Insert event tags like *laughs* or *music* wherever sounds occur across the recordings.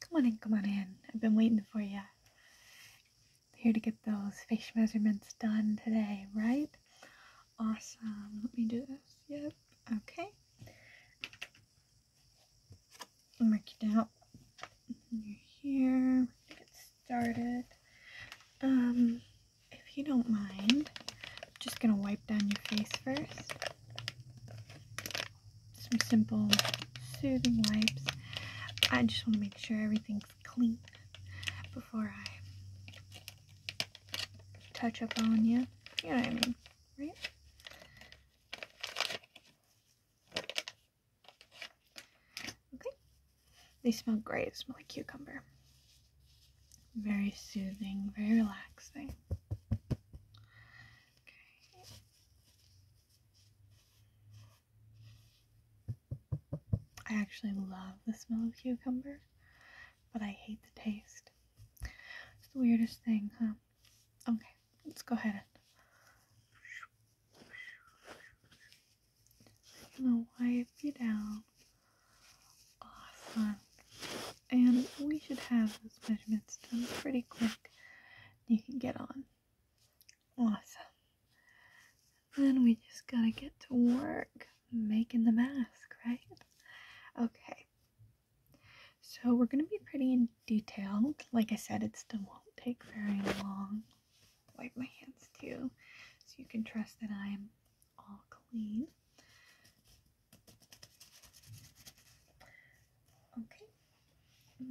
Come on in, come on in. I've been waiting for you. Here to get those face measurements done today, right? Awesome. Let me do this. Yep. Okay. Mark you down. You're here. Get started. Um, if you don't mind, I'm just gonna wipe down your face first some simple soothing wipes. I just want to make sure everything's clean before I touch up on you. You know what I mean, right? Okay. They smell great. They smell like cucumber. Very soothing, very relaxing. Okay. I actually love the smell of cucumber, but I hate the taste. It's the weirdest thing, huh? Okay, let's go ahead and. I'm gonna wipe you down. Awesome and we should have those measurements done pretty quick. You can get on. Awesome. Then we just gotta get to work making the mask, right? Okay. So we're gonna be pretty detailed. Like I said, it still won't take very long. Wipe my hands too, so you can trust that I am all clean. Okay, I'm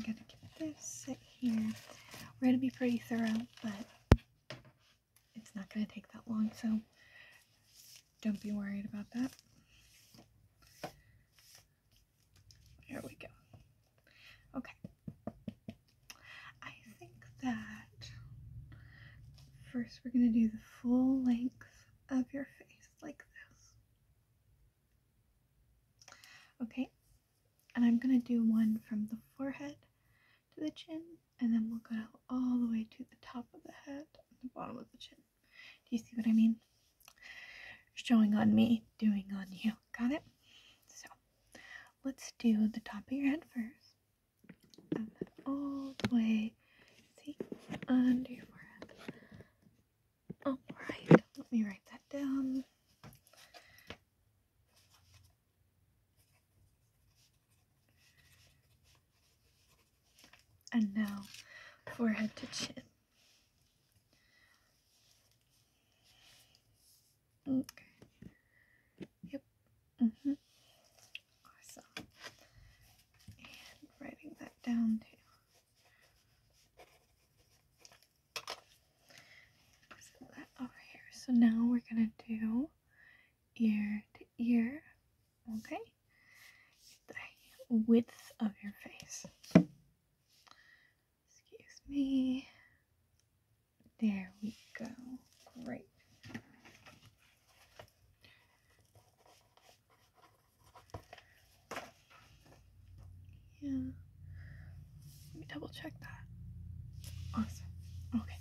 mm, gonna give this sit here. We're gonna be pretty thorough, but it's not gonna take that long, so don't be worried about that. There we go. Okay. I think that first we're going to do the full length of your face like this. Okay, and I'm gonna do one from the forehead to the chin, and then we'll go all the way to the top of the head and the bottom of the chin. Do you see what I mean? Showing on me, doing on you. Got it? So let's do the top of your head first and all the way, see, under your forehead. Alright, let me write that down. And now, forehead to chin. Okay. Yep. hmm Awesome. And writing that down too. Set that over here. So now we're gonna do ear to ear. Okay. the width of your face. Excuse me. There we go. Great. Yeah. Let me double check that. Awesome. Okay.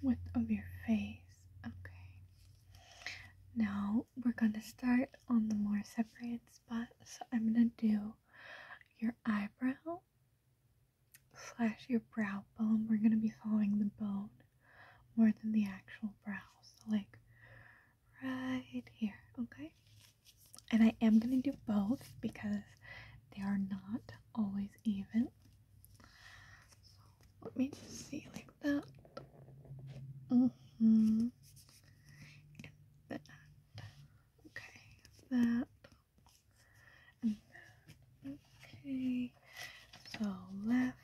Width of your face. Okay. Now we're gonna start on the more separate spots. So I'm gonna do your eyebrow slash your brow bone. We're gonna be following the bone more than the actual brow. So like right here, okay? And I am gonna do both because they are not always even. So let me just see like that. Mm-hmm. Okay, that okay, so left.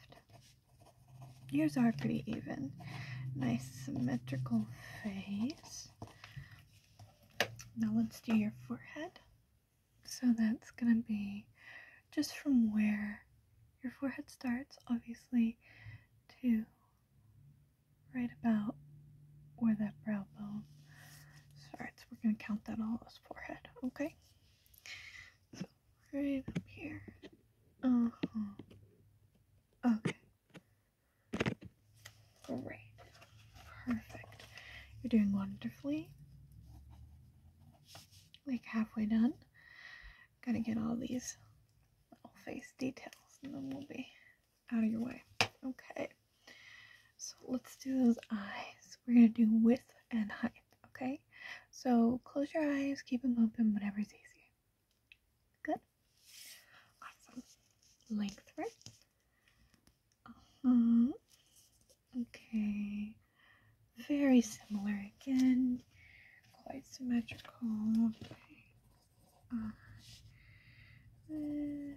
ears are pretty even. Nice symmetrical face. Now let's do your forehead. So that's gonna be just from where your forehead starts, obviously, to right about where that brow bone starts so we're going to count that all his forehead, okay? So, right up here. Uh-huh. Okay. Great. Perfect. You're doing wonderfully. Like halfway done. Gotta get all these little face details and then we'll be out of your way. Okay. So let's do those eyes. We're going to do width and height. Okay. So close your eyes, keep them open, whatever's easy. Good. Awesome. Length, right? Uh-huh. Okay. Very similar again. Quite symmetrical. Okay. Uh, mm.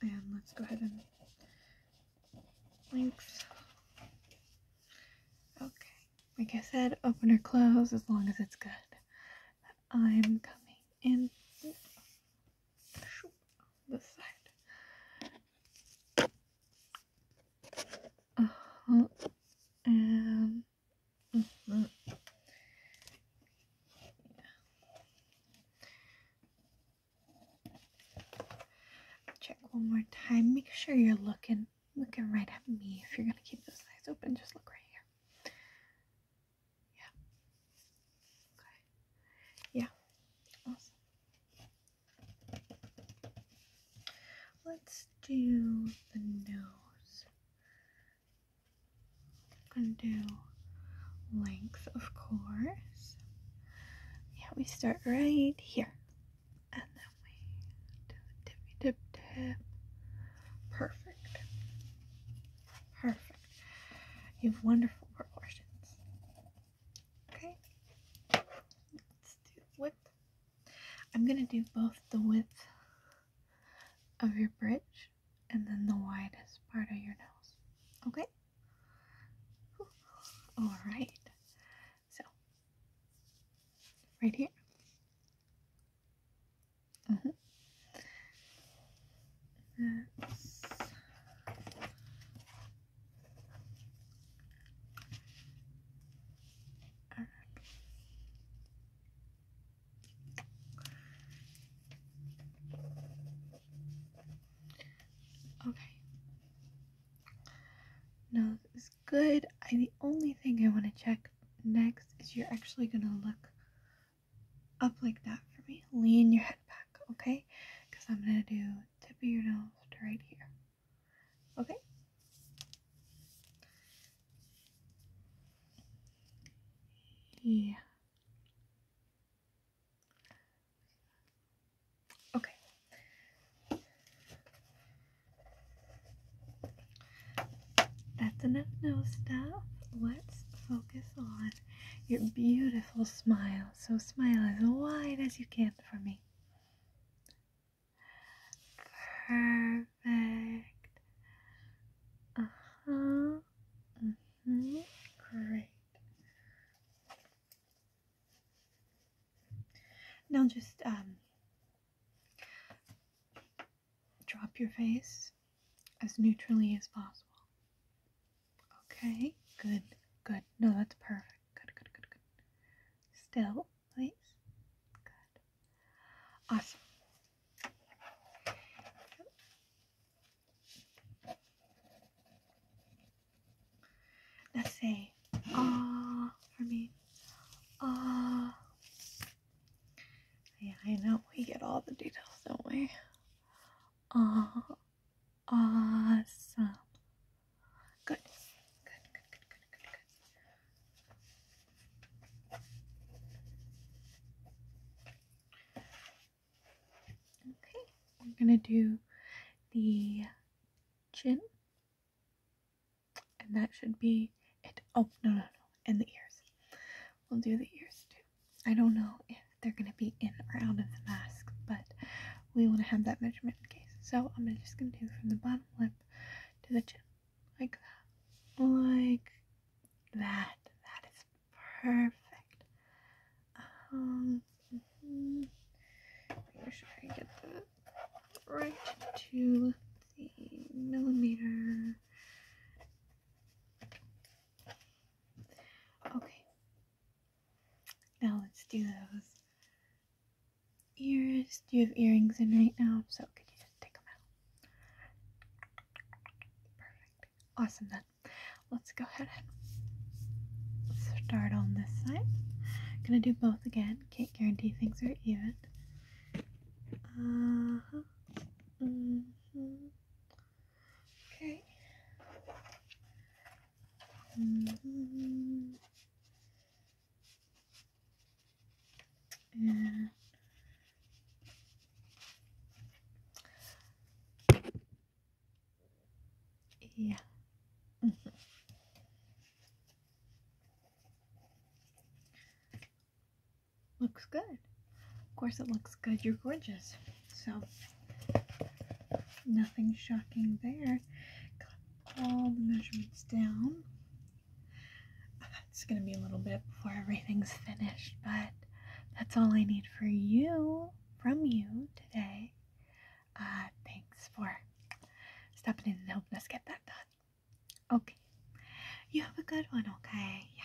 And let's go ahead and links. Okay, like I said, open or close as long as it's good. I'm coming in this side. Uh -huh. And Check one more time. Make sure you're looking looking right at me. If you're gonna keep those eyes open, just look right here. Yeah. Okay. Yeah. Awesome. Let's do the nose. I'm gonna do length, of course. Yeah, we start right here. And then we do the tippy tip tip. Perfect. Perfect. You have wonderful proportions. Okay. Let's do width. I'm gonna do both the width of your bridge and then the widest part of your nose. Okay? *laughs* Alright. So, right here. Mm -hmm. That's All right. Okay. Now this is good. the only thing I want to check next is you're actually gonna look up like that for me. Lean your head back, okay? Because I'm gonna do tip of your nose to right here. Okay? Yeah. Okay. That's enough no stuff. Let's focus on your beautiful smile. So smile as wide as you can for me. Perfect. Uh huh. Mm -hmm. Great. Now just um drop your face as neutrally as possible. Okay, good, good. No, that's perfect good, good, good, good. Still, please. Good. Awesome. Now say, ah, for me. Ah. Yeah, I know. We get all the details, don't we? Ah. Awesome. Good. Good, good, good, good, good, Okay, we're going to do the chin. And that should be it. Oh, no, no, no. And the ears. We'll do the ears too. I don't know if they're going to be in or out of the mask, but we want to have that measurement in case. So I'm just going to do from the bottom lip to the chin. Like that. Like that. That is perfect. Um, mm-hmm. Make sure I get that right to the millimeter. Okay. Now let's do those ears. Do you have earrings in right now? So could you just take them out? Perfect. Awesome then. Let's go ahead and start on this side. I'm gonna do both again. Can't guarantee things are even. Uh huh. -hmm. Okay. Mm *laughs* yeah. looks good. Of course it looks good. You're gorgeous. So nothing shocking there. Got all the measurements down. It's gonna be a little bit before everything's finished, but that's all I need for you from you today. Uh, thanks for stepping in and helping us get that done. Okay. You have a good one, okay? Yeah.